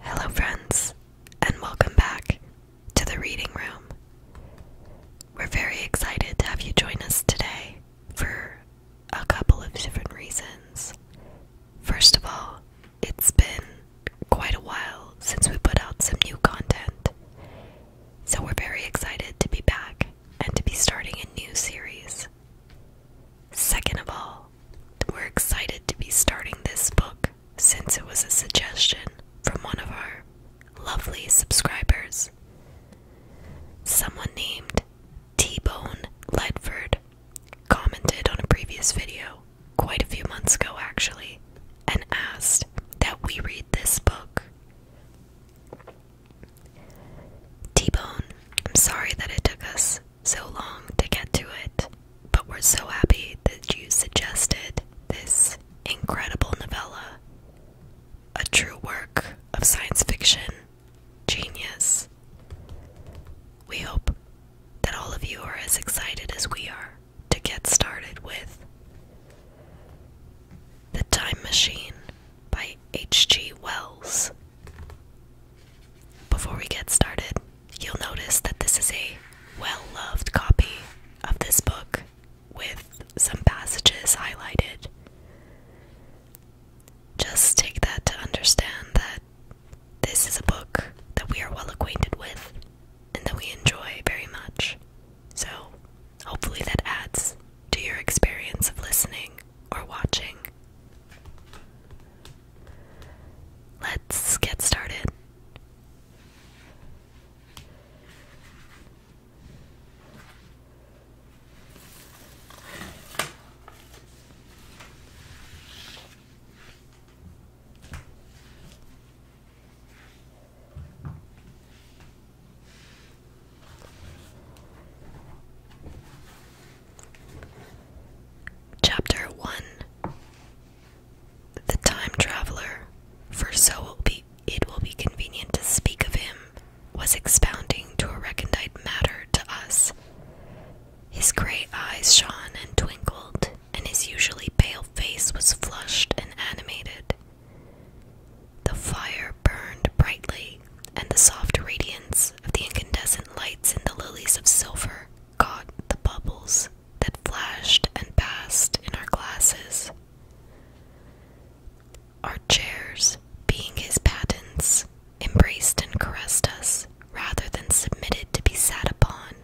Hello, friends, and welcome back to the reading room. We're very excited to have you join us today for a couple of different reasons. First of all, it's been quite a while since we put out some new content, so we're very excited to be back and to be starting a new series. Second of all, we're excited to be starting this book since it was a suggestion from one of our lovely subscribers. Someone named T Bone Ledford commented on a previous video quite a few months ago, actually, and asked that we read this book. T Bone, I'm sorry that it took us so long to get to it, but we're so happy that you suggested this incredible novella. A true work of science fiction genius. We hope that all of you are as excited as we are to get started with. The Time Machine by H.G. Wells. Before we get started, you'll notice that this is a well loved copy of this book with some passages highlighted. Just take that to understand that this is a book that we are well acquainted with and that we enjoy very much. So, hopefully, that adds to your experience of listening or watching. Let's get started. Chapter 1 The Time Traveler, for so it will, be, convenient to speak of him, was expounding to a recondite matter to us. His grey eyes shone and twinkled, and his usually pale face was flushed and animated. The fire burned brightly, and the soft radiance of the incandescent lights in the lilies of silver caught the bubbles that flashed and passed in our glasses. Our chairs, being his patents, embraced and caressed us rather than submitted to be sat upon.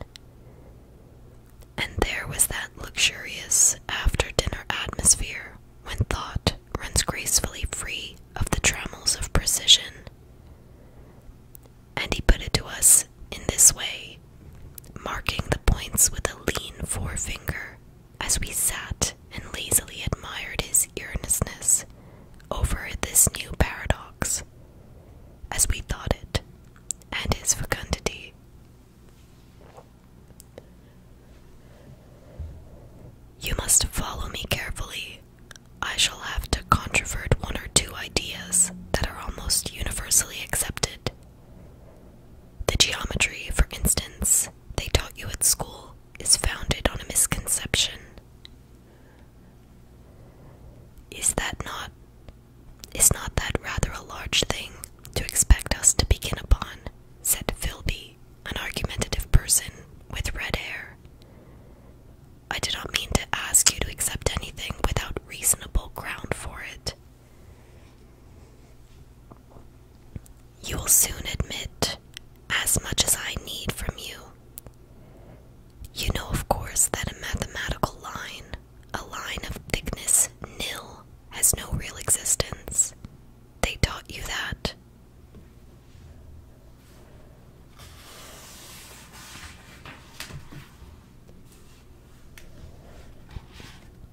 And there was that luxurious after dinner atmosphere when thought runs gracefully free of the trammels of precision. And he put it to us in this way, marking the points with a lean forefinger as we sat and lazily admired his earnestness over this new paradox, as we thought it, and his fecundity. You must follow me carefully. I shall have to controvert one or two ideas that are almost universally accepted. The geometry, for instance, they taught you at school is founded on a misconception. Is that not is not that rather a large thing to expect us to begin upon, said Philby, an argumentative person with red hair. I did not mean to ask you to accept anything without reasonable ground for it. You will soon admit as much as I need from you. You know, of course, that a mathematical line, a line of thickness nil, has no real existence. They taught you that.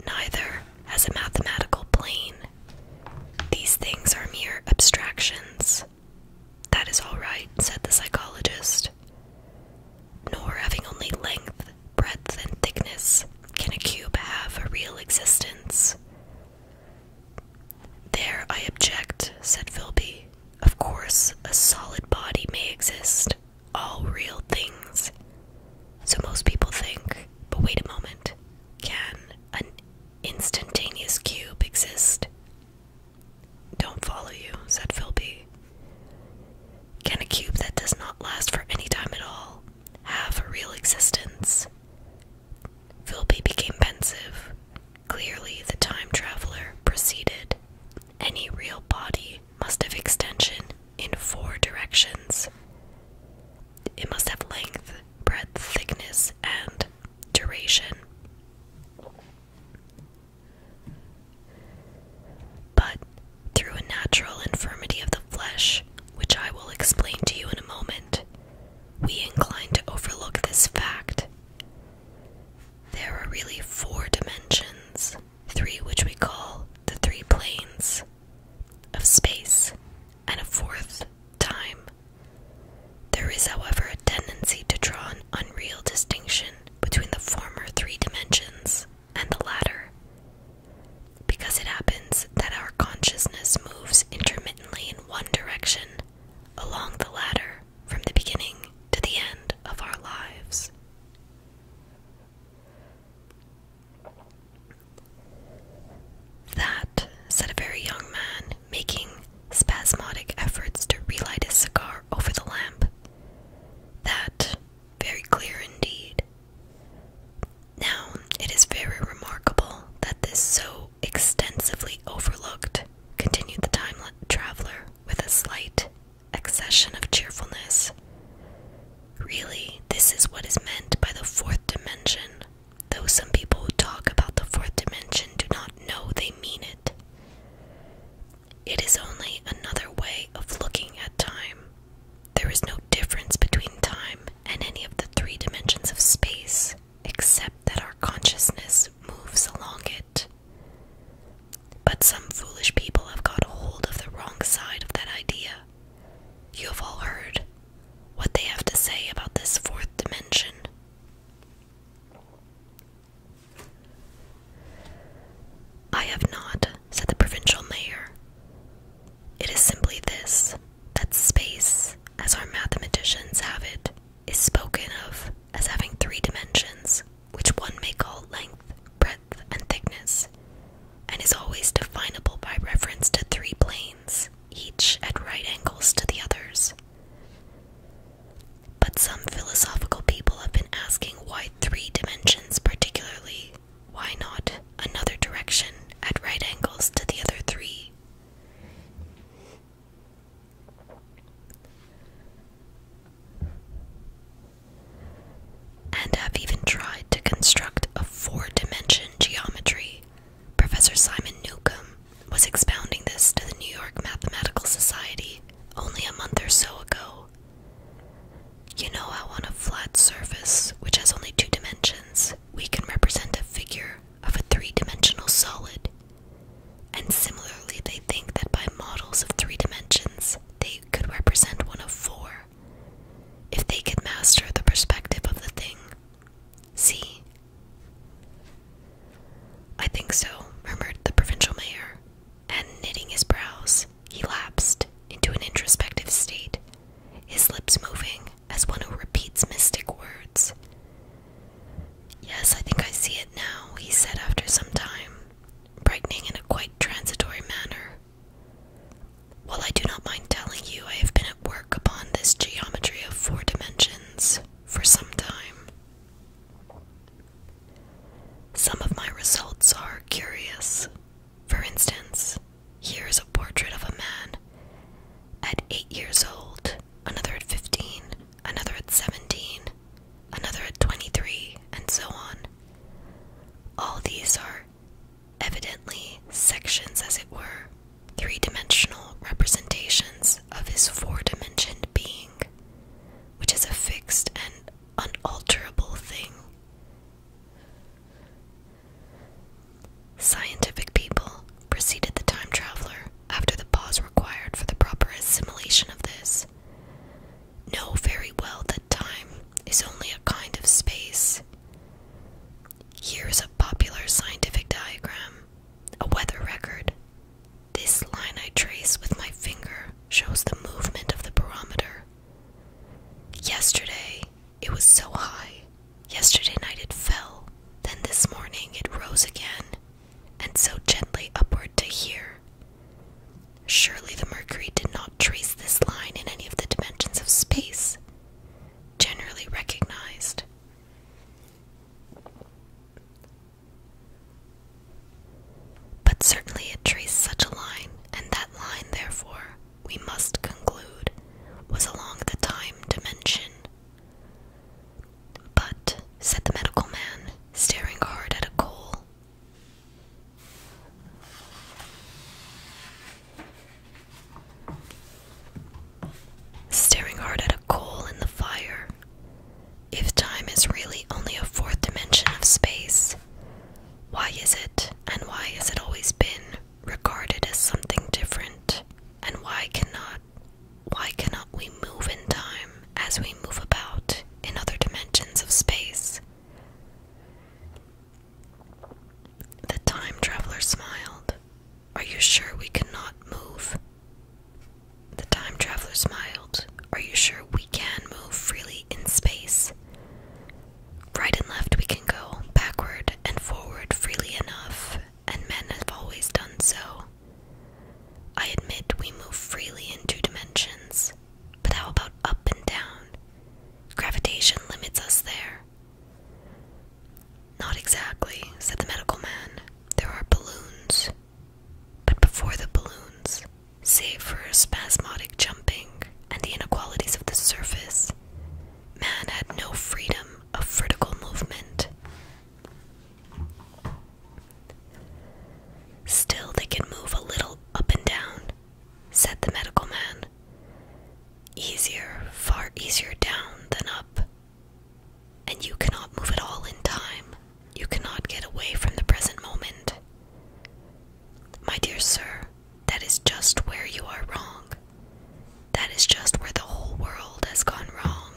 Neither has a mathematical plane. These things are mere abstractions. That is all right, said the psychologist. Nor having only length breadth, and thickness? Can a cube have a real existence? There I object, said Philby. Of course, a solid body may exist, all real things. So most people think, but wait a moment, can an instantaneous cube exist? Don't follow you, said Philby. Can a cube that does not last for any time at all have a real existence. Philby became pensive. Clearly, the time traveler proceeded. Any real body must have extension in four directions. It must have length, breadth, thickness, and duration. But through a natural infirmity of the flesh, which I will explain to you in a moment, we incline to overlook this fact. There are really four dimensions, three which we call the three planes of space, and a fourth, time. There is, however, a tendency to draw an unreal distinction between the former three dimensions and the latter. Because it happens that our consciousness moves intermittently in one direction along the ladder from the beginning to the end of our lives. That, said a very young man, making spasmodic efforts to relight his cigar over the lamp. That, very clear indeed. Now, it is very remarkable that this so extensively overlooked, continued the time traveler with a slight accession of cheerfulness. Really, this is what is meant by the fourth dimension, though some people who talk about the fourth dimension do not know they mean it. It is only another way of looking at time, there is no difference between time and any of the three dimensions of space, except that our consciousness moves along it. But some foolish people have got hold of the wrong side of that idea. You have all heard what they have to say about this fourth dimension. I have not, said the provincial mayor. It is simply this that space, as our mathematicians have it, is spoken of as having three dimensions, which one may call length, breadth, and thickness, and is always definable by reference to three planes, each at right angles to the others. But some philosophical people have been asking why three dimensions particularly, why not another direction at right angles to the other three? And have even tried to construct a four dimensional geometry. Professor Simon Newcomb was expounding this to the New York Mathematical Society only a month or so ago. You know how on a flat surface, which has only two dimensions, we can represent a figure of a three dimensional solid. And similarly, they think that by models of three dimensions, they could represent one of four if they could master the perspective of the thing. See? I think so, murmured the provincial mayor, and knitting his brows, he lapsed into an introspective state his lips moving as one who repeats mystic words. Yes, I think I see it now, he said after some time, brightening in a quite transitory manner. While I do not mind telling you, I have been at work upon this geometry of four dimensions for some time. Some of my results are curious, for instance, here is a portrait of a man at 8 years old, another at 15, another at 17, another at 23, and so on. All these are evidently sections, as it were, three dimensional representations of his four dimensional being, which is a fixed and unalterable thing. Scientific people preceded the time traveler after the pause required for the proper assimilation of this. Know very well that time is only a kind of space. Here's a popular scientific diagram, a weather record. This line I trace with my finger shows the movement of the barometer. Yesterday, it was so high. Yesterday night it fell, then this morning it rose again, and so gently upward to here. Surely the Mercury did not trace this line in any of the dimensions of space, generally recognized. But certainly it traced such a line, and that line, therefore, we must conclude, was along the time dimension. But, said the medical man, staring hard at a coal, staring hard at a coal in the fire, if time is really only a fourth dimension of space, why is it, and why has it always been, regarded as something different? And why cannot why cannot we move in time as we move about in other dimensions of space? The time traveler smiled. Are you sure we cannot move? The time traveler smiled. Are you sure we can move freely in space? Right and left, we can go backward and forward freely enough, and men have always done so. I admit we move freely in two dimensions, but how about up and down? Gravitation limits us there. Not exactly, said the medical man. There are balloons. But before the balloons, save for spasmodic jumping and the inequalities of the surface, man had no freedom of vertical movement. Still, they can move a little up and down, said the medical man. Easier, far easier down than up. And you cannot move at all in time. You cannot get away from the present moment. My dear sir, that is just where you are wrong. That is just where the whole world has gone wrong.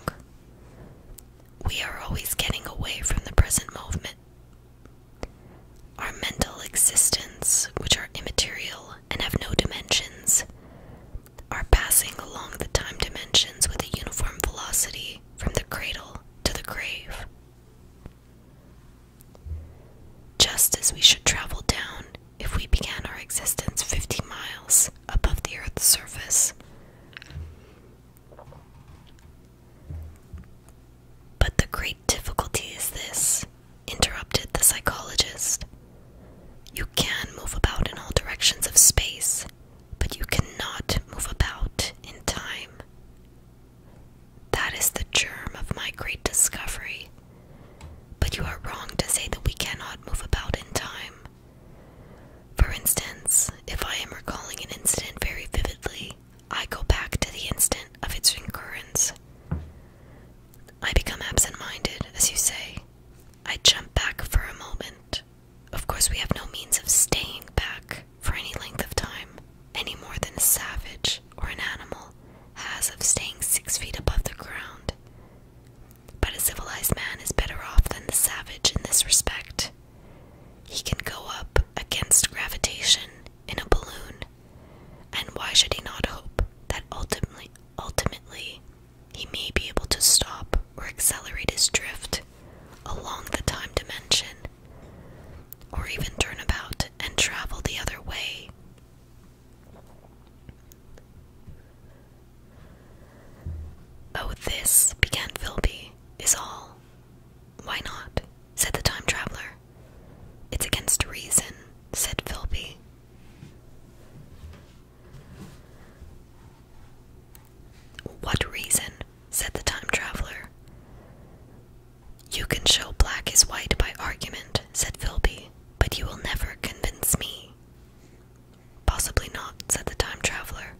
We are always getting away from the present moment. Our mental existence, which are immaterial and have no dimensions, are passing along the time dimensions with a uniform velocity from the cradle to the grave. Just as we should travel down if we began our existence 50 miles above the Earth's surface. But the great difficulty is this, interrupted the psychologist. You can move about in all directions of space, but you cannot move about in time. That is the germ of my great discovery. But you are wrong to say that we cannot move about in time. For instance, if I am recalling an incident very vividly, I go back to the instant of its recurrence. I become absent minded, as you say. I jump back for a moment. Of course, we have no means of staying back for any length of time, any more than a savage or an animal has of staying six feet above the ground. But a civilized man is better off than the savage in this respect. He can go up against gravitation in a balloon. And why should he not hope that ultimately ultimately he may be able to stop or accelerate his drift along the time dimension or even turn about and travel the other way? Oh, this, began Philby, is all. Why not? said the time traveler. It's against reason, said Philby. What reason? said the time traveler. You can show black is white by argument, said Philby, but you will never convince me. Possibly not, said the time traveler,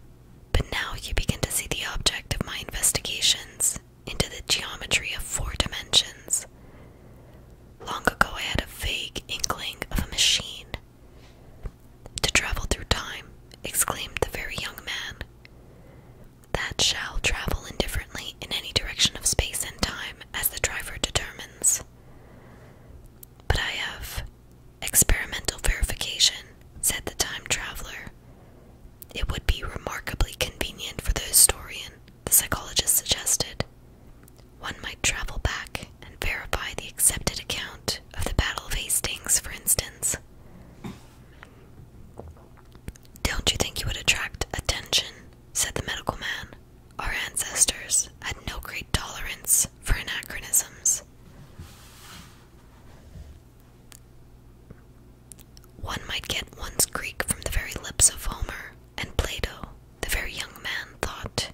but now you begin to see the object of my investigations into the geometry of four dimensions. Long ago, I had a vague inkling of a machine. To travel through time, exclaimed the very young man. That shall travel indifferently in any direction of space and time as the driver determines. But I have experimental verification, said the time traveler. It would be remarkably convenient for the historian, the psychologist suggested. One might travel back and verify the accepted account of the Battle of Hastings, for instance. Don't you think you would attract attention? said the medical man. Our ancestors had no great tolerance for anachronisms. One might get one's Greek from the very lips of Homer, and Plato, the very young man, thought.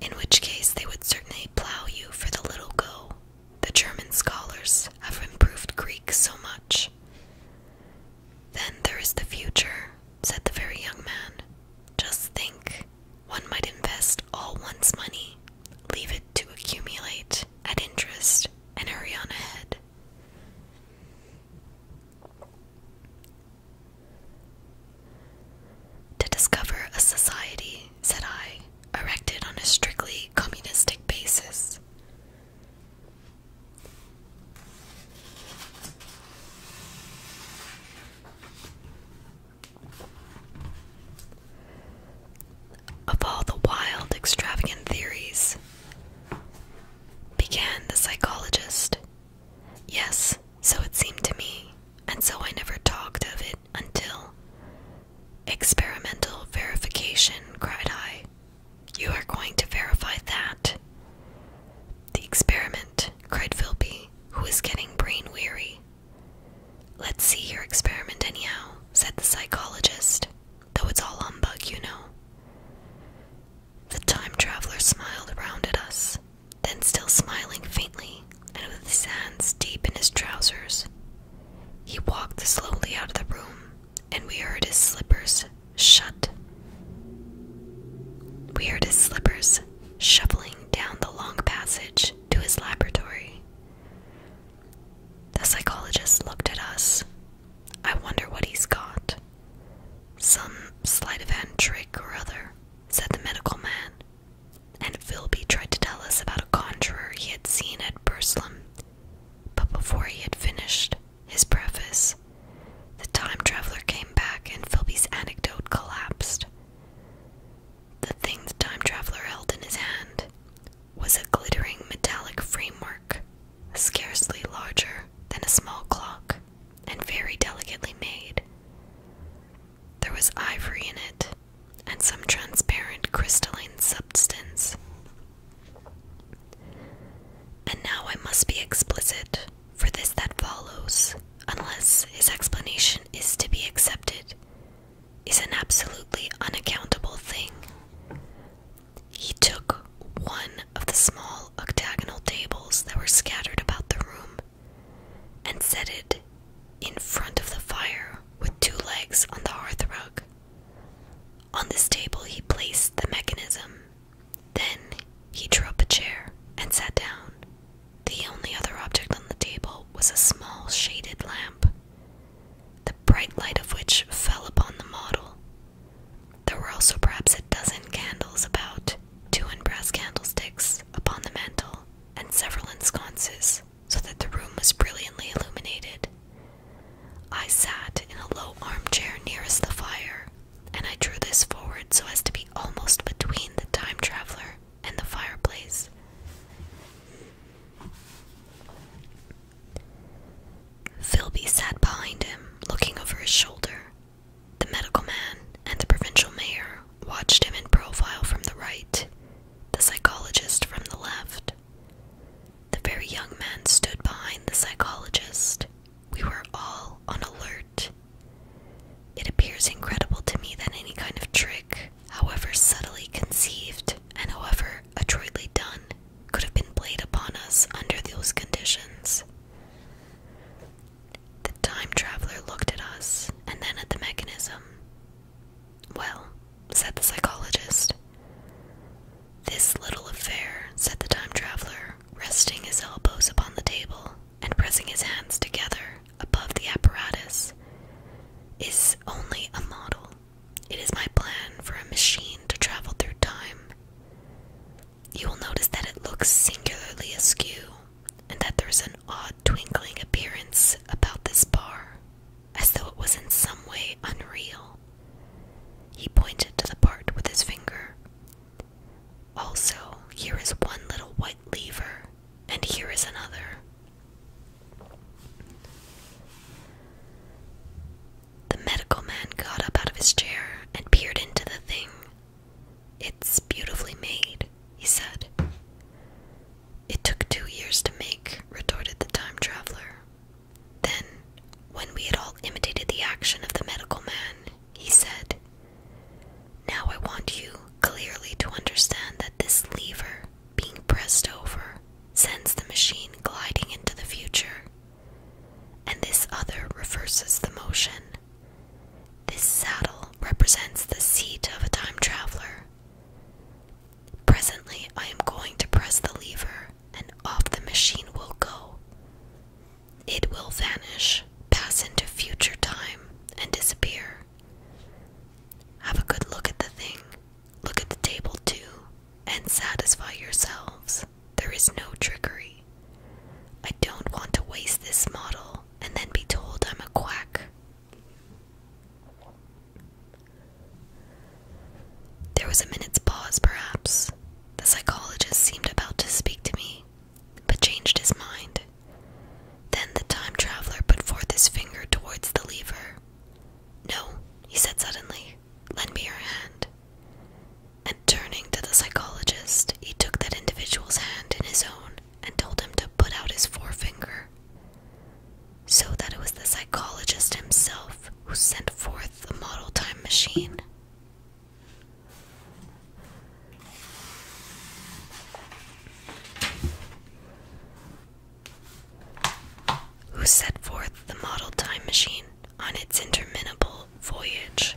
In which case they would certainly plough you for the little go. The German scholars have improved Greek so much. Then there is the future, said the very young man. Just think, one might invest all one's money, leave it to accumulate at interest, and hurry on ahead. To discover a society, said I, erected on a strictly communistic basis. Of all the wild, extravagant theories, began the psychologist. Yes, so it seemed to me, and so I never talked of it until. Experimental verification, cried I. You are going to verify that. The experiment, cried Philpy, who was getting brain weary. Let's see your experiment, anyhow, said the psychologist, though it's all humbug, you know. The time traveler smiled round at us, then, still smiling faintly, and with his hands deep in his trousers, he walked slowly out of the room, and we heard his slippers shut. Weird his slippers, shuffling down the long passage to his laboratory. The psychologist looked at us. I wonder what he's got. Some sleight of hand trick or other, said the medical man. And Philby tried to tell us about a conjurer he had seen at Burslem. But before he had finished his preface, the time traveler came back and Philby's anecdote collapsed. The thing the time traveler held in his hand was a glittering metallic framework, scarcely larger than a small clock and very delicately made. There was ivory in it and some transparent crystalline substance. And now I must be explicit for this that follows, unless his explanation is to be accepted, is an absolutely unaccountable thing. He took one of the small octagonal tables that were scattered about the room and set it in front of the fire with two legs on the hearth rug. On this table, he placed the mechanism then he drew up a chair and sat down. The only other object on the table was a small shaded lamp, the bright light of which fell upon the model. There were also perhaps a dozen candles about, two in brass candlesticks upon the mantel, and several in sconces, so that the room was brilliantly illuminated. I sat in a low armchair nearest the fire and I drew this forward so as to be almost between the time traveler and the fireplace. Philby sat behind him, looking over his shoulder. The medical man and the provincial mayor watched him in profile from the right, the psychologist from the left. The very young man stood behind the psychologist. We were all on alert. It appears incredible to me that any kind of trick, however subtly conceived and however adroitly done, could have been played upon us under those conditions. The time traveler looked at us and then at the mechanism. Well, said the psychologist. This little affair, said the time traveler, resting his elbows upon the table, and pressing his hands together above the apparatus, is only a model. It is my plan for a machine to travel through time. You will notice that it looks singularly askew, and that there is an odd twinkling appearance about this bar, as though it was in some way unreal. He pointed to the part with his finger. Also, here is one little white lever, and here is another. The medical man got up out of his chair and peered into the thing. It's beautifully made, he said. It took two years to make, retorted the time traveler. Then, when we had all imitated the action of the medical man, he said. Now I want you clearly to understand that this lever being pressed over sends the machine gliding into the future, and this other reverses the motion. This saddle represents the seat of a time traveler. Presently, I am going to press the lever, and off the machine will go. It will vanish, pass into future time, and disappear. Have a good look at the thing. Look at the table too, and satisfy yourselves. There is no trickery. I don't want to waste this model and then be told I'm a quack. There was a minute's pause, perhaps. The psychologist seemed about to speak to me but changed his mind. Then the time traveler put forth his finger towards the lever. No, he said suddenly, lend me your hand. And turning to the psychologist, he took that individual's hand in his own and told him to put out his forefinger. So that it was the psychologist himself who sent forth the model time machine. Who set forth the model time machine on its interminable voyage?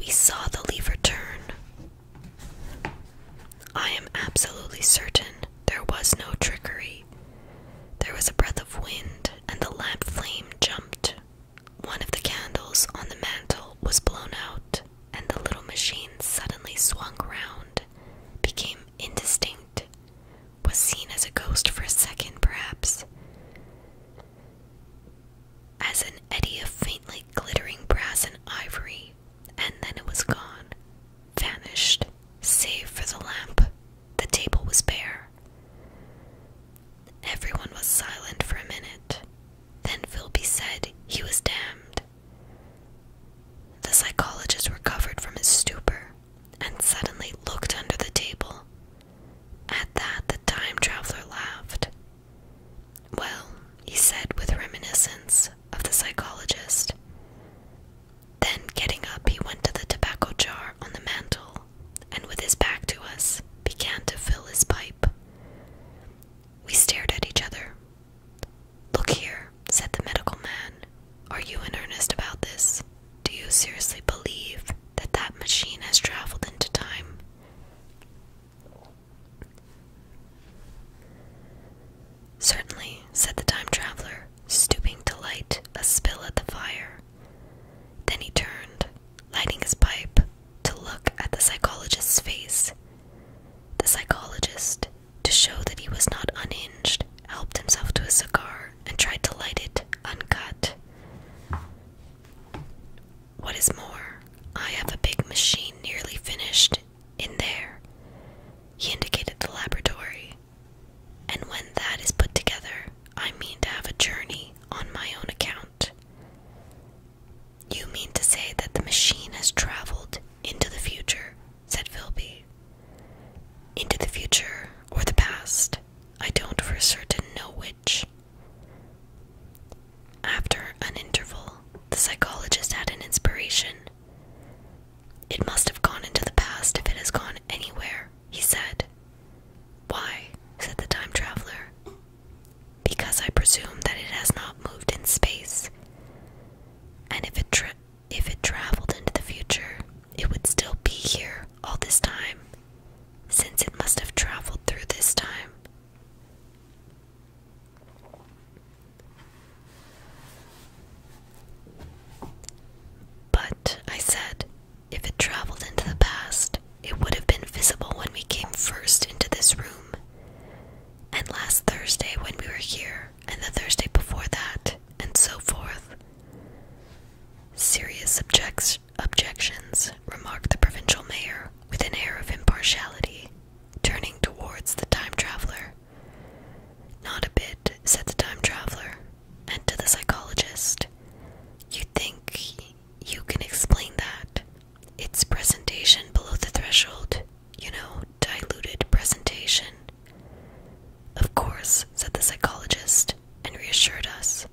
We saw the lever turn. I am absolutely certain there was no trickery. There was a breath of wind, and the lamp flame jumped one of the candles on the mantel was blown out, and the little machine suddenly swung round, became indistinct, was seen as a ghost for a second, perhaps. As an eddy of faintly glittering brass and ivory, and then it was gone, vanished, save for the lamp. The table was bare. Everyone was silent for a minute, then Philby said he was damned. The psychologist recovered from his stupor and suddenly looked under the table. At that, the time traveler laughed. Well, he said with reminiscence of the psychologist. Then, getting up, he went to the tobacco jar on the mantel and, with his back to us, began to fill his pipe. We stared at each other. Look here, said the medical man. Are you in earnest about this? Do you seriously believe that that machine has traveled into time? Certainly, said the time traveler, stooping to light a spill at the fire. Then he turned lighting his pipe to look at the psychologist's face. The psychologist, to show that he was not unhinged, helped himself to a cigar and tried to light it uncut. What is more, I have a big machine nearly finished in there. He indicated the laboratory. And when that is put together, I mean to have a journey on my own account. You mean to say that the machine has traveled into the future, said Philby. Into the future or the past, I don't for certain know which. After an interval, the psychologist had an inspiration. It must have gone into the past if it has gone anywhere, he said. Why? said the time traveler because I presume that it has not moved in space. And if it if it traveled into the future, it would still be here all this time, since it must have traveled through this time. But, I said, if it traveled into the past, it would have been visible when we came first into this room and last Thursday when we were here, and the Thursday before that, and so forth. Serious objects, objections, remarked the provincial mayor with an air of impartiality, turning towards the time traveler. Not a bit, said the time traveler, and to the psychologist. You think you can explain that? Its presentation below the threshold, you know, diluted presentation. Of course, said the psychologist, and reassured us.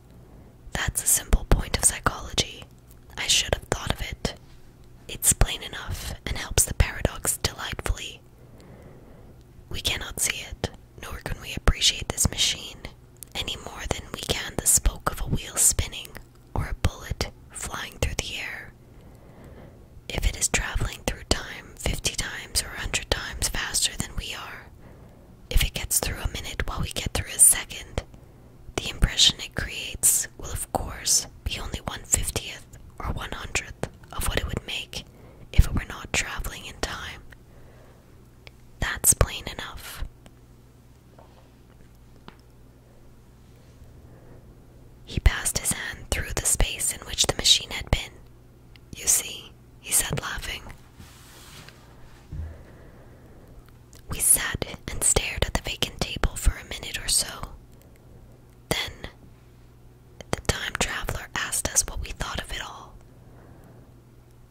That's a simple point of psychology. I should have thought of it. It's plain enough and helps the paradox delightfully. We cannot see it, nor can we appreciate this machine, any more than we can the spoke of a wheel spinning or a bullet flying through the air. If it is traveling through time 50 times or 100 times faster than we are, if it gets through a minute while we get through a second, the impression it creates will, of course, be only 150th or 100th of what it would make if it were not traveling in time. That's plain enough. He passed his hand through the space in which the machine had been. You see, he said, laughing. We sat and stared at the vacant table for a minute or so. Then the time traveler asked us what we thought of it all.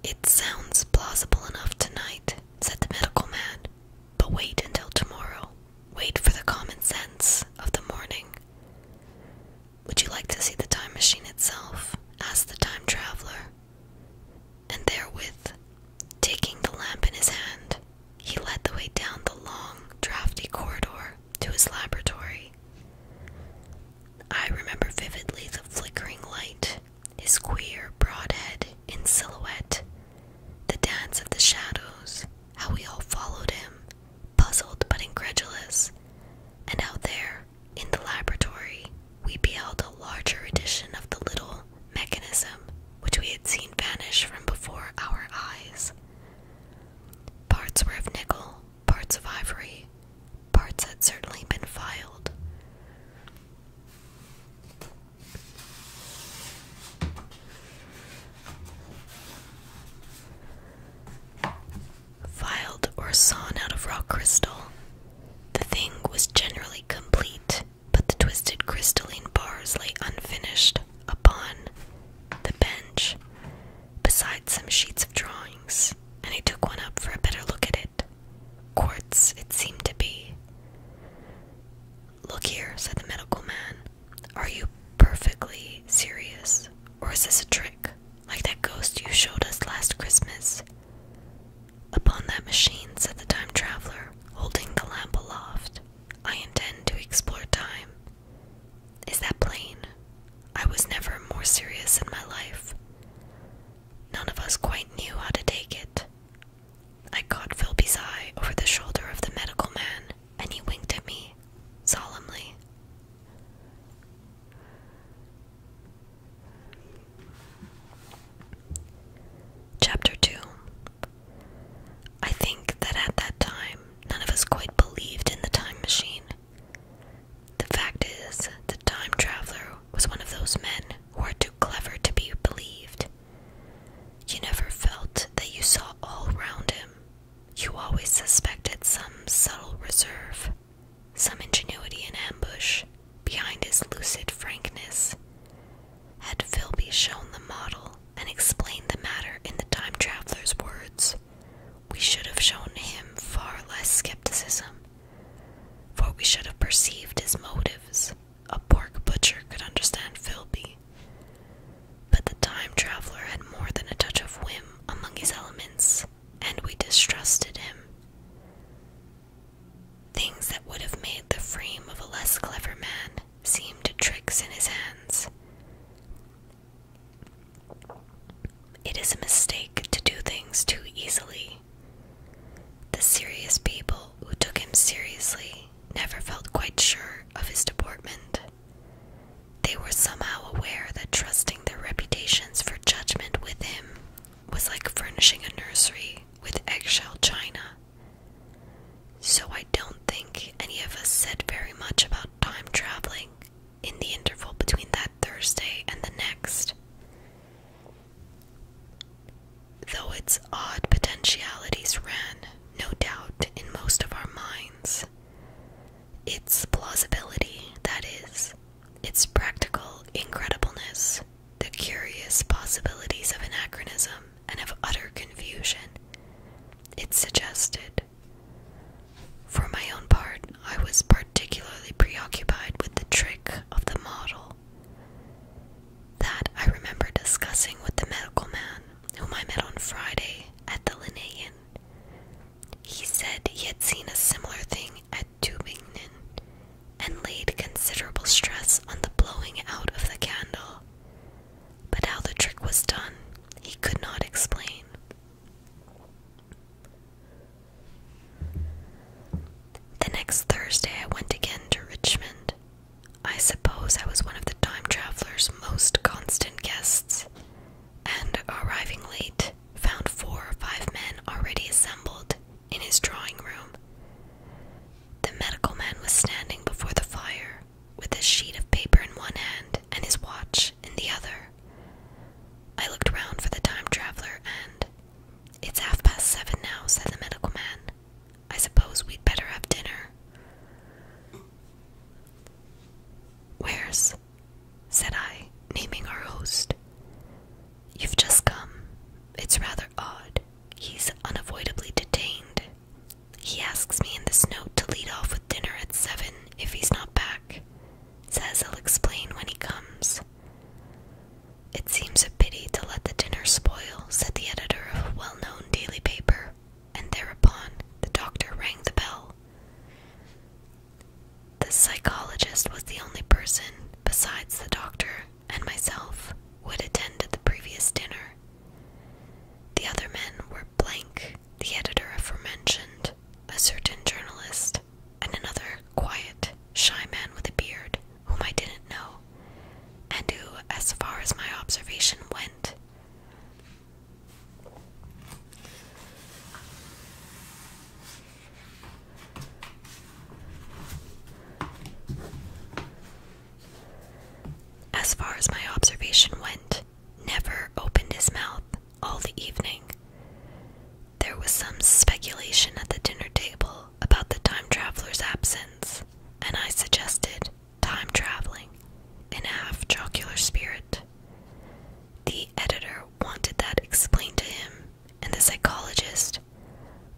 It sounds plausible enough tonight, said the medical man. But wait until tomorrow. Wait for the common sense of the morning. Would you like to see the time machine itself? asked the time traveler. And therewith, taking the lamp in his hand, he led the way down the long, drafty corridor to his laboratory. I remember vividly the flickering light, his queer, broad head in silhouette, the dance of the shadows, how we all followed him, puzzled but incredulous, and out there, in the laboratory, we beheld a larger edition of the little mechanism which we had seen vanish from before our eyes. Parts were of nickel, parts of ivory, parts had certainly been filed. Filed or sawn out of rock crystal, the thing was generally complete, but the twisted crystalline bars lay unfinished upon the bench, beside some sheets of drawings, and he took one up for a better look at it. Quartz, it seemed to be. Look here, said the medical man. Are you perfectly serious? Or is this a trick? Like that ghost you showed us last Christmas? Upon that machine, said the time traveler, holding the lamp aloft. I intend to explore time. Is that plain? I was never more serious in my life. None of us quite knew how to take it. I caught Philby's eye over the shoulder of the medical man, and he winked at me solemnly. Chapter 2 I think that at that time, none of us quite believed in the time machine. The fact is, the time traveler was one of those men who are too clever to be believed, you never felt that you saw all round him. You always suspected some subtle reserve, some ingenuity in ambush behind his lucid frankness. Had Philby shown the model and explained the matter in the time traveler's words, we should have shown him far less skepticism, for we should have perceived his motives, a pork butcher could understand Philby. But the time traveler had more than a touch of whim among his elements, and we distrusted him. Things that would have made the frame of a less clever man seem tricks in his hands. It is a mistake to do things too easily. The serious people who took him seriously never felt quite sure of his deportment. They were somehow aware that trusting their reputations for judgment with him was like furnishing a nursery with eggshell china. So I don't think any of us said very much about time traveling in the interval between that Thursday and the next. Though its odd potentialities ran no doubt in most of our minds. Its plausibility, that is, its practical incredibleness, the curious possibilities of anachronism and of utter confusion, it suggested. For my own part, I was particularly preoccupied with the trick of the model. That I remember discussing with the medical man whom I met on Friday at the Linnaean. He said he had seen a similar thing at Tübingen and laid considerable stress on the blowing out of the candle, but how the trick was done he could not explain. The next Thursday I went again to Richmond I suppose I was one of the time traveler's most constant guests, and arriving late, found four or five men already assembled in his drawing room. The medical man was standing before the fire with a sheet of paper in one hand and his watch in the other. I looked round for the time traveler and. It's half past seven now, said the medical man. I suppose we'd better have dinner. Where's? said I, naming our host. You've just come. It's rather odd. He's unavoidably detained. He asks me in this note to lead off with dinner at seven if he's not back. Says he will explain when he comes. It seems a pity to let the dinner spoil, said the editor of a well known daily paper and thereupon the doctor rang the bell. The psychologist was the only person, besides the doctor and myself, who had attended the previous dinner. The other men were Blank, the editor aforementioned, a certain journalist, and another quiet, shy man with a beard, whom I didn't know, and who, as far as my observation went, as far as my observation went, never opened his mouth all the evening. There was some speculation at the dinner table about the time traveler's absence, and I suggested time traveling in a half jocular spirit. The editor wanted that explained to him, and the psychologist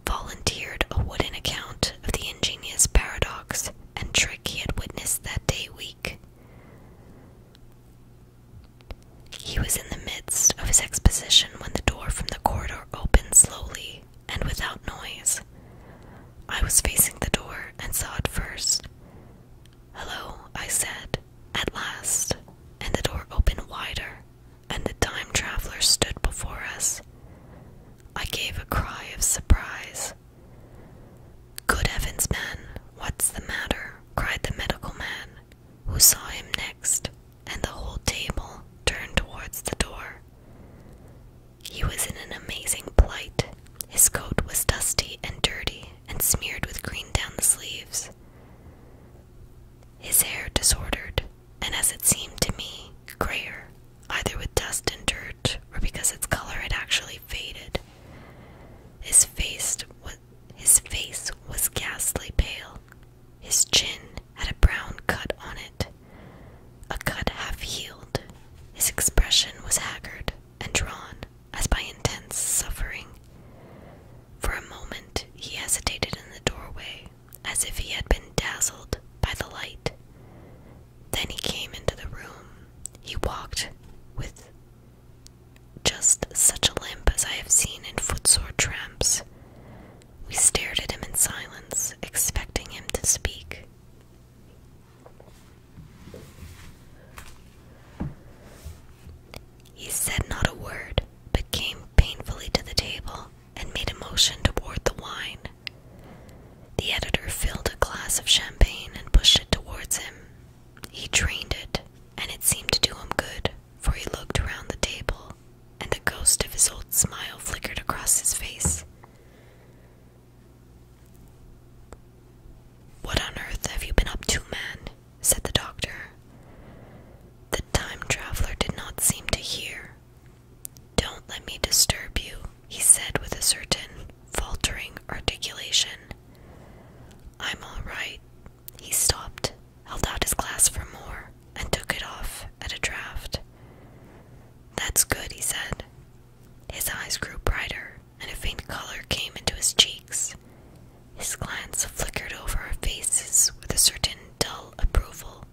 volunteered a wooden account of the ingenious paradox and trick he had witnessed that day week. He was in the midst of his exposition when the door from the corridor opened slowly and without noise. I was facing the door and saw it first. Hello, I said, at last, and the door opened wider, and the time traveler stood before us. I gave a cry of surprise. Good heavens, man, what's the matter? cried the medical man, who saw him next, and the whole table turned towards the door. He was in an amazing plight. His coat was dusty and dirty and smeared with green down the sleeves. His hair disordered, and as it seemed to me, grayer, either with dust and dirt or because its color had actually faded. His face was his face was ghastly pale. His chin had a brown cut on it, a cut half healed. His expression was haggard and drawn as by intense suffering. For a moment he hesitated in the doorway, as if he had been dazzled by the light. Then he came into the room. He walked with just such a limp as I have seen in footsore tramps. We stared at him in silence, expecting him to speak. He said not a word, but came painfully to the table and made a motion toward the wine. The editor filled a glass of champagne and pushed it towards him. He drained it, and it seemed to do him good, for he looked around the table, and the ghost of his old smile flickered across his face. What on earth have you been up to, man? said the doctor. The time traveler did not seem to hear. Don't let me disturb you, he said with a certain faltering articulation. I'm all right. He stopped, held out his glass for more, and took it off at a draught. That's good, he said. His eyes grew brighter and a faint color came into his cheeks. His glance flickered over our faces with a certain dull approval,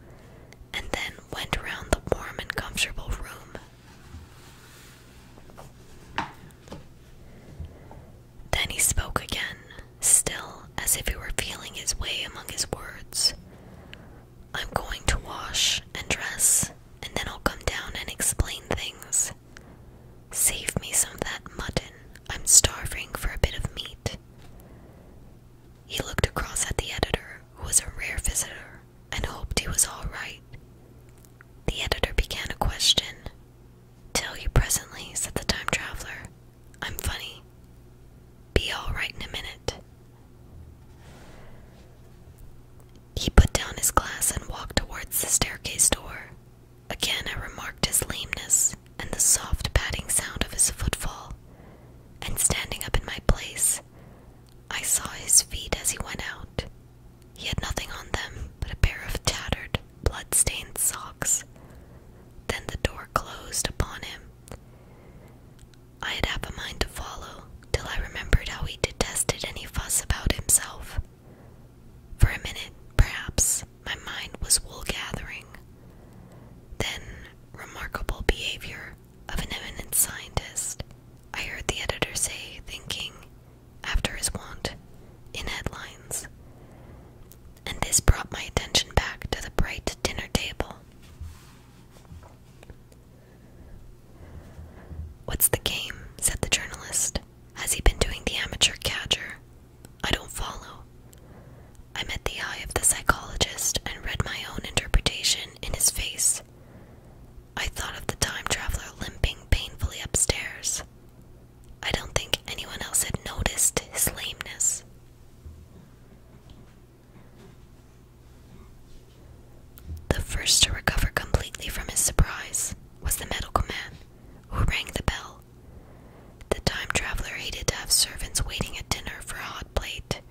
and then went round the warm and comfortable room. Then he spoke again, still as if he were feeling his way among his words. I'm going to wash and dress and then I'll come down and explain things. Save me some of that mutton. I'm starving for a bit of meat. He looked across at the editor, who was a rare visitor, and hoped he was all right. The editor began a question. Tell you presently, said the time traveler. I'm funny. Be all right in a minute. He put down his glass and walked towards the staircase door. Again, I remarked his lameness and the soft padding sound of his footfall, and standing up in my place, I saw his feet as he went out. He had nothing on them but a pair of tattered, blood-stained socks. Then the door closed upon him. I had half a mind to follow, till I remembered how he detested any fuss about himself. For a minute, perhaps, my mind was wool gathering. Then, remarkable behavior of an eminent scientist, I heard the editor say, thinking, after his wont, in headlines. And this brought my attention back to the bright dinner table. What's the game? said the journalist. Has he been doing the amateur catcher? I don't follow. I met the eye of the psychologist and read my own interpretation in his face. I thought of the time traveler limping painfully upstairs. I don't think anyone else had noticed his lameness. The first to recover completely from his surprise was the medical man, who rang the bell. The time traveler hated to have servants waiting at dinner for a hot plate.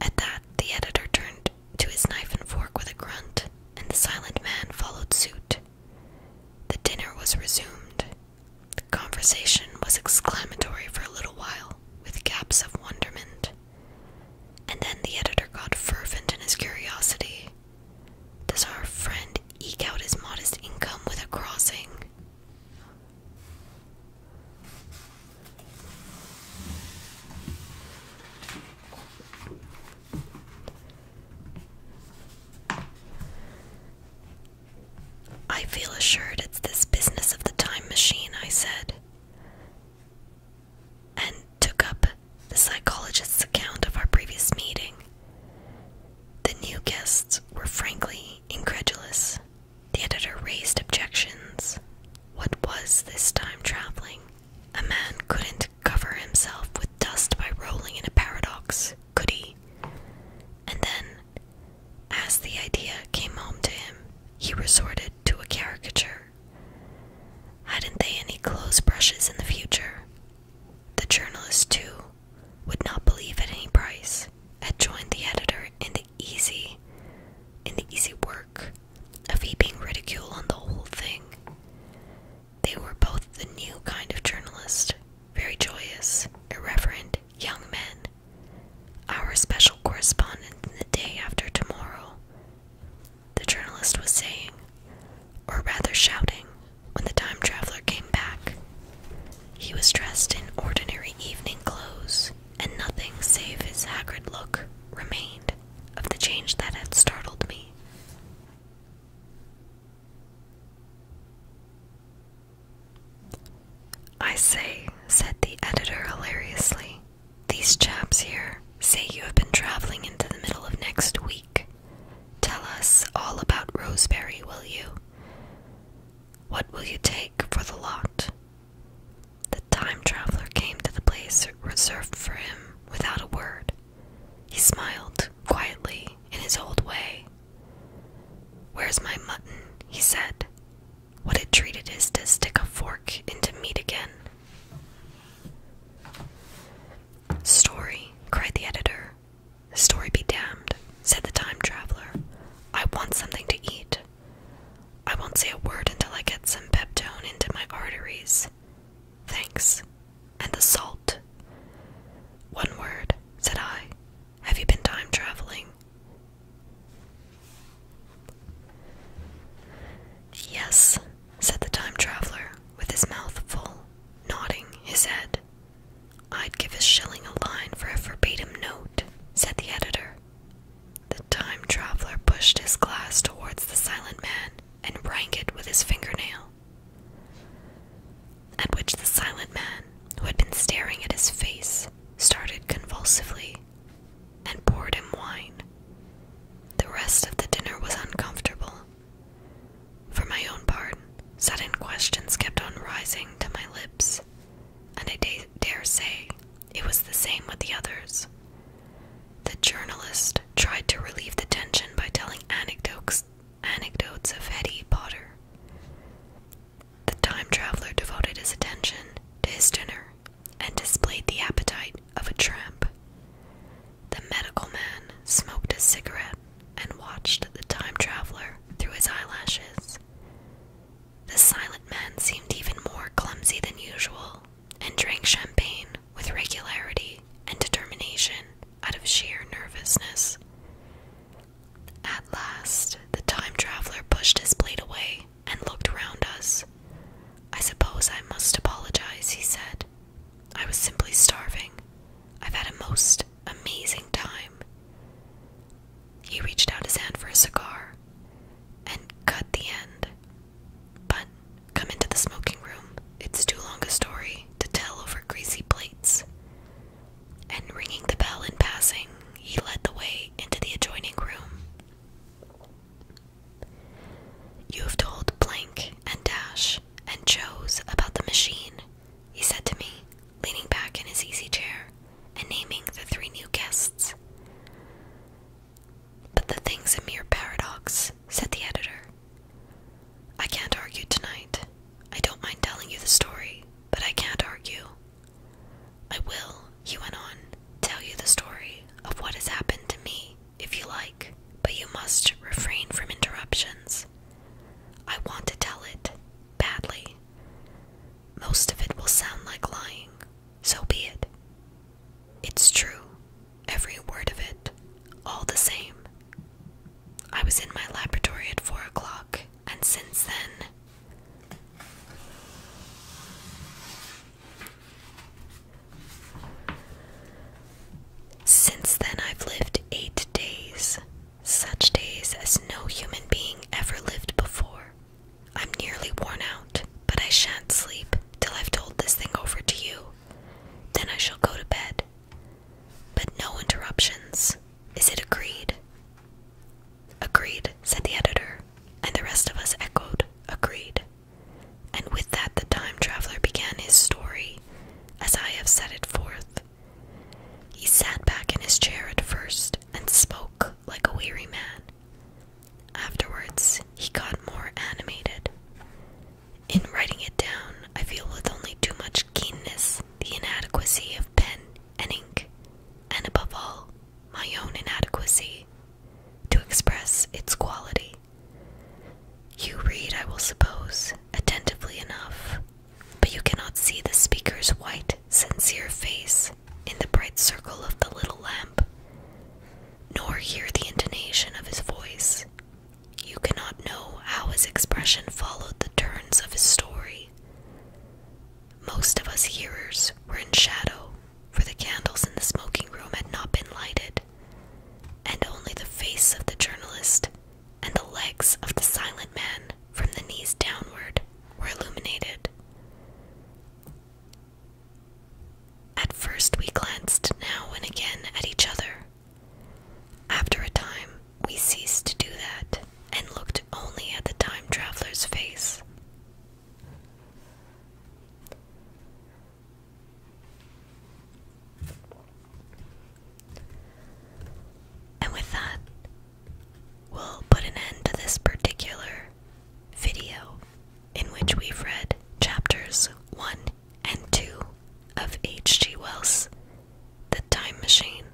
At that, the editor turned to his knife and fork with a grunt, and the silent man followed suit. The dinner was resumed. The conversation was exclamatory for a little while, with gaps of wonderment. And then the editor got fervent in his curiosity. Does our friend eke out his modest income with a crossing? I feel assured it's this business of the time machine, I said and took up the psychologist's account of our previous meeting. The new guests were frankly incredulous. The editor raised objections. What was this time traveling? A man couldn't cover himself with dust by rolling in a paradox, could he? And then, as the idea came home to him, he resorted to a caricature. Hadn't they any clothes brushes in the future? The journalist, too, would not believe at any price, had joined the editor in the easy in the easy work of heaping ridicule on the whole thing. They were both the new kind of journalist, very joyous, irreverent young men. Our special correspondent in the day after tomorrow the journalist was saying, or rather shouting, when the time traveler came back. He was dressed in ordinary evening clothes, and nothing save his haggard look remained of the change that had startled me. I say, said the editor hilariously, these chaps here say you have been traveling into the middle of next week. Tell us all about Roseberry, will you? What will you take for the lot? The time traveler came to the place reserved for him without a word. He smiled quietly in his old way. Where's my mutton? he said. What it treat is to stick a fork into meat again. Story, cried the editor. The story be damned, said the time traveler. I want something to eat. I won't say a word until I get some peptone into my arteries. Thanks. And the salt. One word, said I. Have you been time traveling? Yes, said the time traveler, with his mouth full, nodding his head. I'd give a shilling a line for a verbatim note, said the editor. The time traveler pushed his glass towards the silent man and rang it with his fingernail. At which the silent man, who had been staring at his face, started convulsively and poured him wine. The rest of the dinner was uncomfortable, for my own part, sudden questions kept on rising to my lips, and I dare say it was the same with the others. The journalist tried to relieve the tension by telling anecdotes, anecdotes of Hetty Potter. The time traveler devoted his attention to his dinner and displayed the appetite of a tramp. The medical man smoked a cigarette and watched the time traveler through his eyelashes. The silent man seemed even more clumsy than usual and drank champagne with regularity and determination out of sheer nervousness. At last, the time traveler pushed his plate away and looked round us. I suppose I must apologize, he said. I was simply starving. I've had a most amazing time. He reached out his hand for a cigar and cut the end. But come into the smoking room. It's too long a story to tell over greasy plates. And ringing the bell in passing, he led the way into the adjoining room. You've told blank and dash and Joe's about the machine, he said to me, leaning back in his easy chair and naming the three new guests. But the thing's a mere paradox, said the editor. I can't argue tonight. I don't mind telling you the story, but I can't argue. I will, he went on, tell you the story of what has happened to me if you like, but you must refrain from interruptions. I want to tell it badly. Most of it will sound like lying, so be it. It's true, every word of it, all the same. I was in my laboratory at four o'clock, and since then. Since then, I've lived eight days, such days as no human being ever lived before. I'm nearly worn out, but I shan't sleep till I've told this thing over to you. Then I shall go to bed. But no interruptions. Is it agreed? Agreed, said the editor, and the rest of us echoed, Agreed. And with that, the time traveler began his story, as I have set it forth. He sat back in his chair at first and spoke like a weary man. Afterwards, he got more animated. In writing it down, I feel with only too much keenness the inadequacy of pen and ink, and above all, my own inadequacy, to express its quality. You read, I will suppose, attentively enough, but you cannot see the speaker's white, sincere face in the bright circle of the little lamp, nor hear the intonation of his voice. You cannot know how his expression followed the turns of his story. Most of us hearers were in shadow, for the candles in the smoking room had not been lighted and only the face of the journalist and the legs of the silent man from the knees downward were illuminated. At first, we glanced now and again at each other. After a time, we ceased to do that and looked only at the time traveler's face. And with that, we'll put an end to this particular video in which we've read chapters 1 and 2 of H.G. Wells' The Time Machine.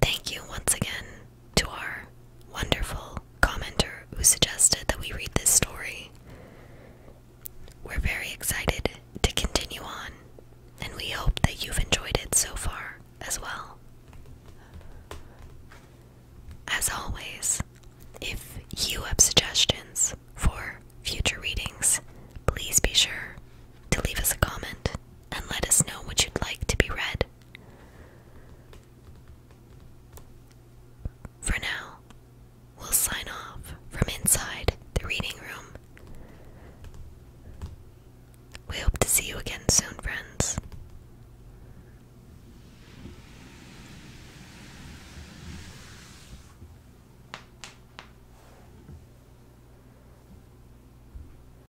Thank you once again to our wonderful commenter who suggested that we read this story. We're very excited to continue on, and we hope that you've enjoyed it so far as well. As always, if you have suggestions for future readings, please be sure to leave us a comment and let us know what you'd like to be read for now, we'll sign off from inside the reading room. We hope to see you again soon, friends.